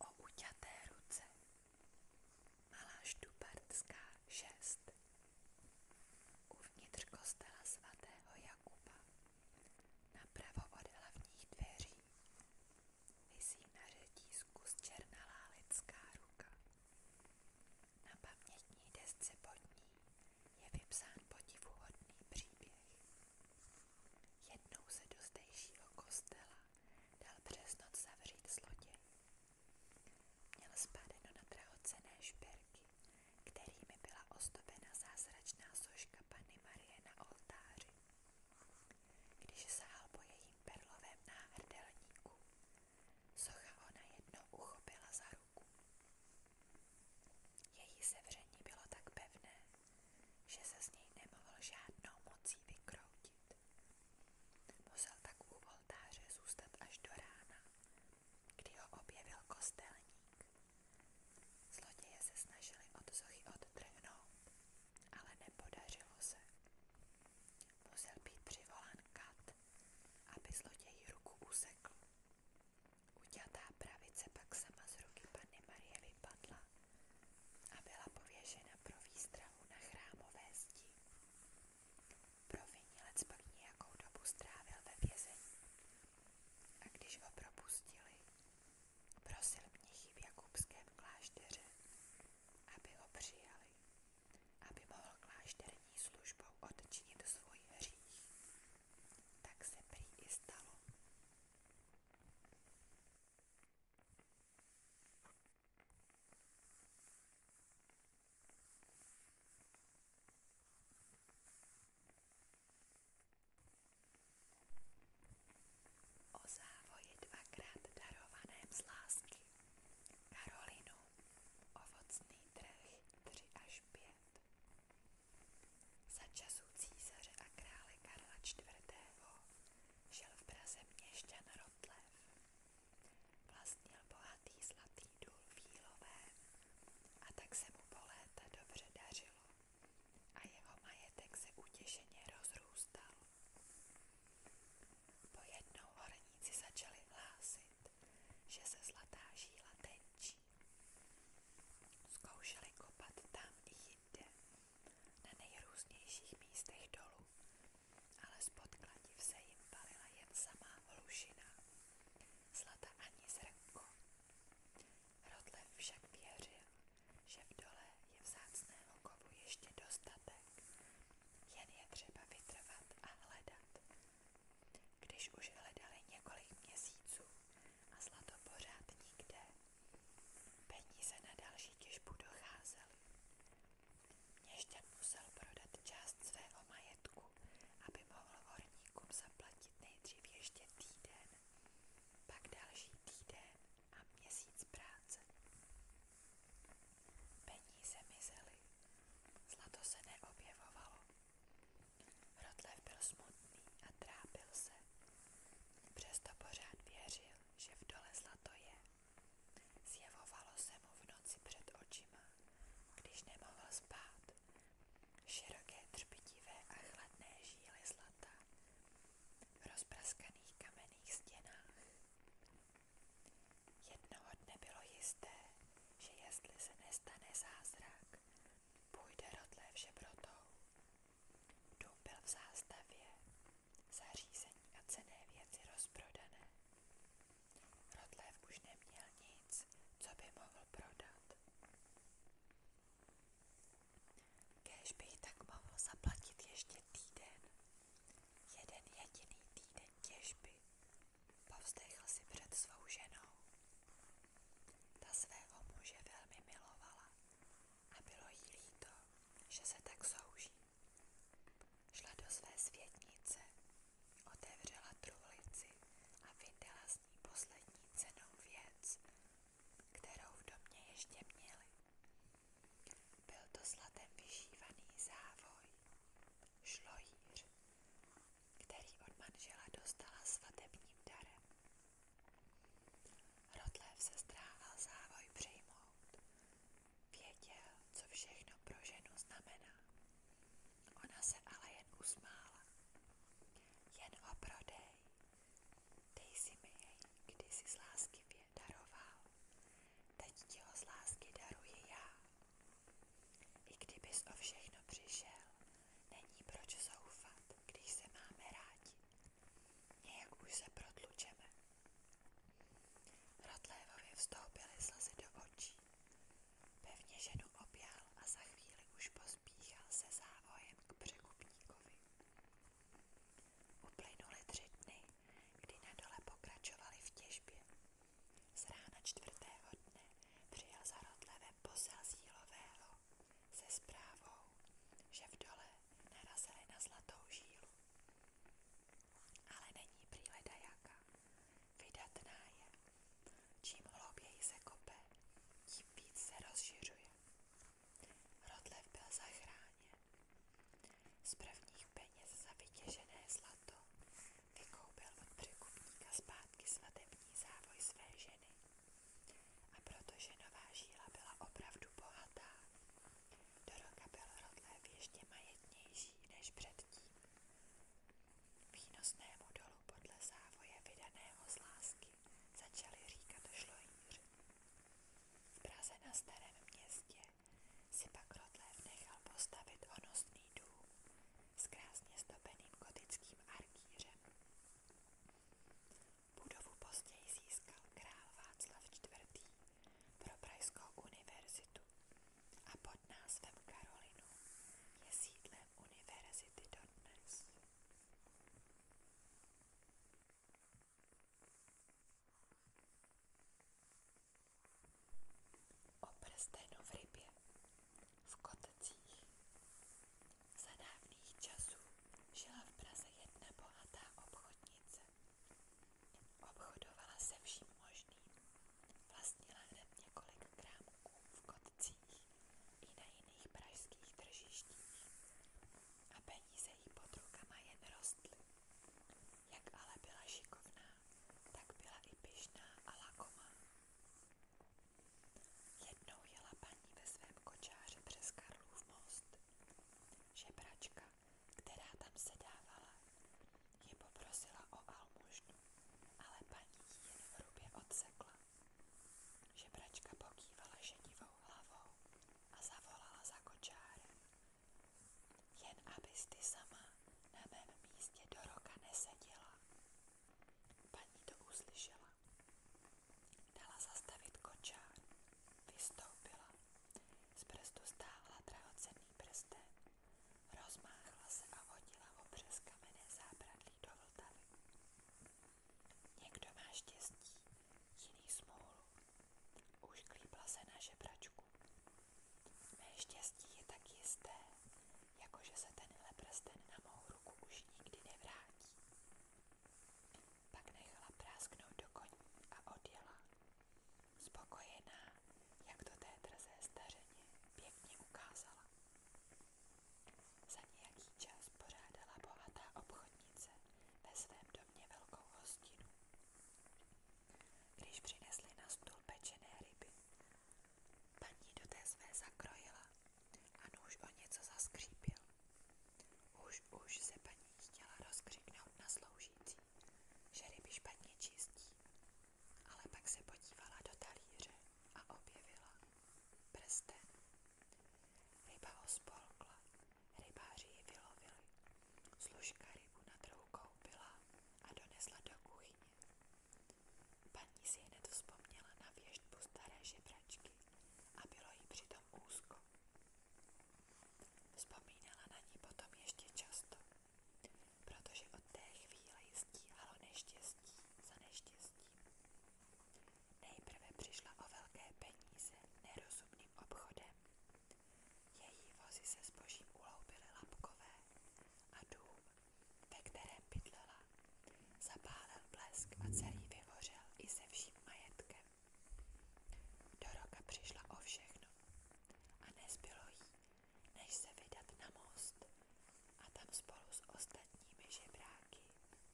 O uťaté ruce Malá Štupartská 6 Uvnitř kostela svatého Jakuba Napravo od hlavních dveří visí na řetízku z černalá lidská ruka. Na pamětní desce pod ní je vypsán podivuhodný příběh. Jednou se do zdejšího kostela dal přes noc zavřít zloděj Měl spádeno na drahocené šperky, kterými byla ozdobena zázračná soška Panny Marie na oltáři. Když sahal po jejím perlovém náhrdelníku, socha ho najednou uchopila za ruku. Její sevření bylo tak pevné, že se z něj nemohl žádnou mocí vykroutit. Musel tak u voltáře zůstat až do rána kdy ho objevil kostelník. Zloděje se snažili od Zochy odtrhnout, ale nepodařilo se. Musel být přivolán kat, aby zloději ruku usekl. Uťatá pravice pak sama z ruky Panny Marie vypadla a byla pověšena pro výstrahu na chrámové zdi. Provinilec pak nějakou dobu strávil ve vězení a když ho propustili, prosil mnichy v jakubském klášteře, aby ho přijali, aby mohl klášterní službou odčinit svůj hřích. Tak se prý i stalo. O závoji dvakrát darovaném z lásky. Karolinu, ovocný trh 3 až 5. Za časů císaře a krále Karla IV. žil v Praze měšťan Rotlev. Vlastnil bohatý zlatý důl v Jílovém a tak se mu po léta dobře dařilo a jeho majetek se utěšeně rozrůstal. Pojednou horníci začali hlásit, že se zlatá žíla tenčí. Zkoušeli kopat tam i jinde, na nejrůznějších místech dolů, ale spod kladiv se jim palila jen samá hlušina, zlata ani zrnko. Rotlev však věřil, že v dole je vzácného kovu ještě dostatek, jen je třeba vytrvat a hledat. Když už hledali několik měsíců a zlato pořád nikde, peníze na další těžbu docházely. Měšťan musel prodat část svého majetku, aby mohl horníkům zaplatit nejdřív ještě týden, pak další týden a měsíc práce. Peníze mizely, zlato se neobjevovalo. Rotlev byl smutný a trápil se. Přesto pořád věřil, že v dole zlato je Zjevovalo se mu v noci před očima, když nemohl spát. Široké třpitivé a chladné žíly zlata v rozpraskaných kamenných stěnách. Jednoho dne bylo jisté, že jestli se nestane zázrak, půjde rodlé všebrotou. Dům byl v zástavě, zařízení a cené věci rozprodané. Rotlév už neměl nic, co by mohl prodat. Kéž bych tak mohl zaplatit ještě týden. Jeden jediný týden těžby. Povzdechl si před svou ženou. Ta svého muže velmi milovala a bylo jí líto, že se tak souží. Šla do své světnice Otevřela truhlici a vydala z ní poslední cenou věc, kterou v domě ještě měli. Byl to zlatem vyšívaný závoj, šlojíř, který od manžela dostala svatebním darem. Rotlev se zdráhal závoj přijmout Věděl, co všechno pro ženu znamená. Ona se ale jen usmála. Jen ho prodej. Dej si mi jej, kdy si z lásky daroval. Teď ti ho z lásky daruji já. I kdybys o všechno přišel, není proč zoufat, když se máme rádi. Nějak už se protlučeme. Rotlévovi vstoupily slzy do očí. Pevně ženu objal a za chvíli už pospíchal se závojem k překupníkovi. Uplynuly tři dny, kdy na dole pokračovali v těžbě. Z rána čtvrtého dne přijel za Rotlevem posel z Jílového se zprávou, že v dole narazili na zlatou žílu. Ale není prý ledajaká. Vydatná je. Čím hlouběji se kope, tím víc se rozšiřuje. Rodlev byl zachráněn. Z prvních peněz za vytěžené zlato vykoupil od překupníka zpátky svatební závoj své ženy. A protože nová žíla byla opravdu bohatá, do roka byl Rodlev ještě majetnější než předtím. Výnosnému dolu podle závoje vydaného z začali říkat šlojíř. V Praze na městě si pak Rotlev nechal postavit honosný dům s krásně zdobeným gotickým arkýřem. Budovu později získal král Václav IV. pro Pražskou univerzitu Oxfordu a pod názvem Karolinu je sídlem univerzity dodnes. O prstenu v rybě, v kotcích. Za dávných časů žila v Praze jedna bohatá obchodnice. Obchodovala se vším možným Vlastnila hned několik krámků v kotcích i na jiných pražských tržištích a peníze jí pod rukama jen rostly. Jak ale byla šikovná, tak byla i pyšná a lakomá. Jednou jela paní ve svém kočáře přes Karlův most. Žebračka, která tam sedávala, ji poprosila o almužnu, ale paní ji jen hrubě odsekla. Žebračka pokývala šedivou hlavou a zavolala za kočárem. Jen abys ty sama na mém místě do roka neseděla. Paní to uslyšela. Dala zastavit kočár, vystoupila, z prstu stáhla drahocenný prsten Rozmáhla se a hodila ho přes kamenné zábradlí do Vltavy. Někdo má štěstí, jiný smůlu. Už klípla se na žebračku. Mé štěstí je tak jisté, jakože se tenhle prsten na mou ruku už nikdy nevrátí. Pak nechala prásknout do koní a odjela, spokojená, jak to té drzé stařeně pěkně ukázala. Za nějaký čas pořádala bohatá obchodnice ve svém domě velkou hostinu. Když přinesli na stůl pečené ryby, paní do té své zakrojila a nůž o něco zaskřípil. Už, už se paní chtěla rozkřiknout na sloužící, že ryby špatně čistí, ale pak se podívala do talíře a objevila prsten. Ryba ho spolkla, rybáři ji vylovili, služka rybu na trhu koupila a donesla do kuchyně. Paní si hned vzpomněla na věštbu staré žebračky a bylo jí přitom úzko. Vzpomínala na ní potom ještě často protože od té chvíle ji stíhalo neštěstí za neštěstím. Nejprve přišla o velké peníze nerozumným obchodem. Její vozy se zbožím uloubily lapkové a dům, ve kterém bydlela, zapálil blesk a celý vyhořel i se vším majetkem. Do roka přišla o všechno a nezbylo jí, než se vydat na most a tam spolu s ostatními žebráky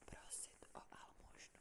prosit o almužnu.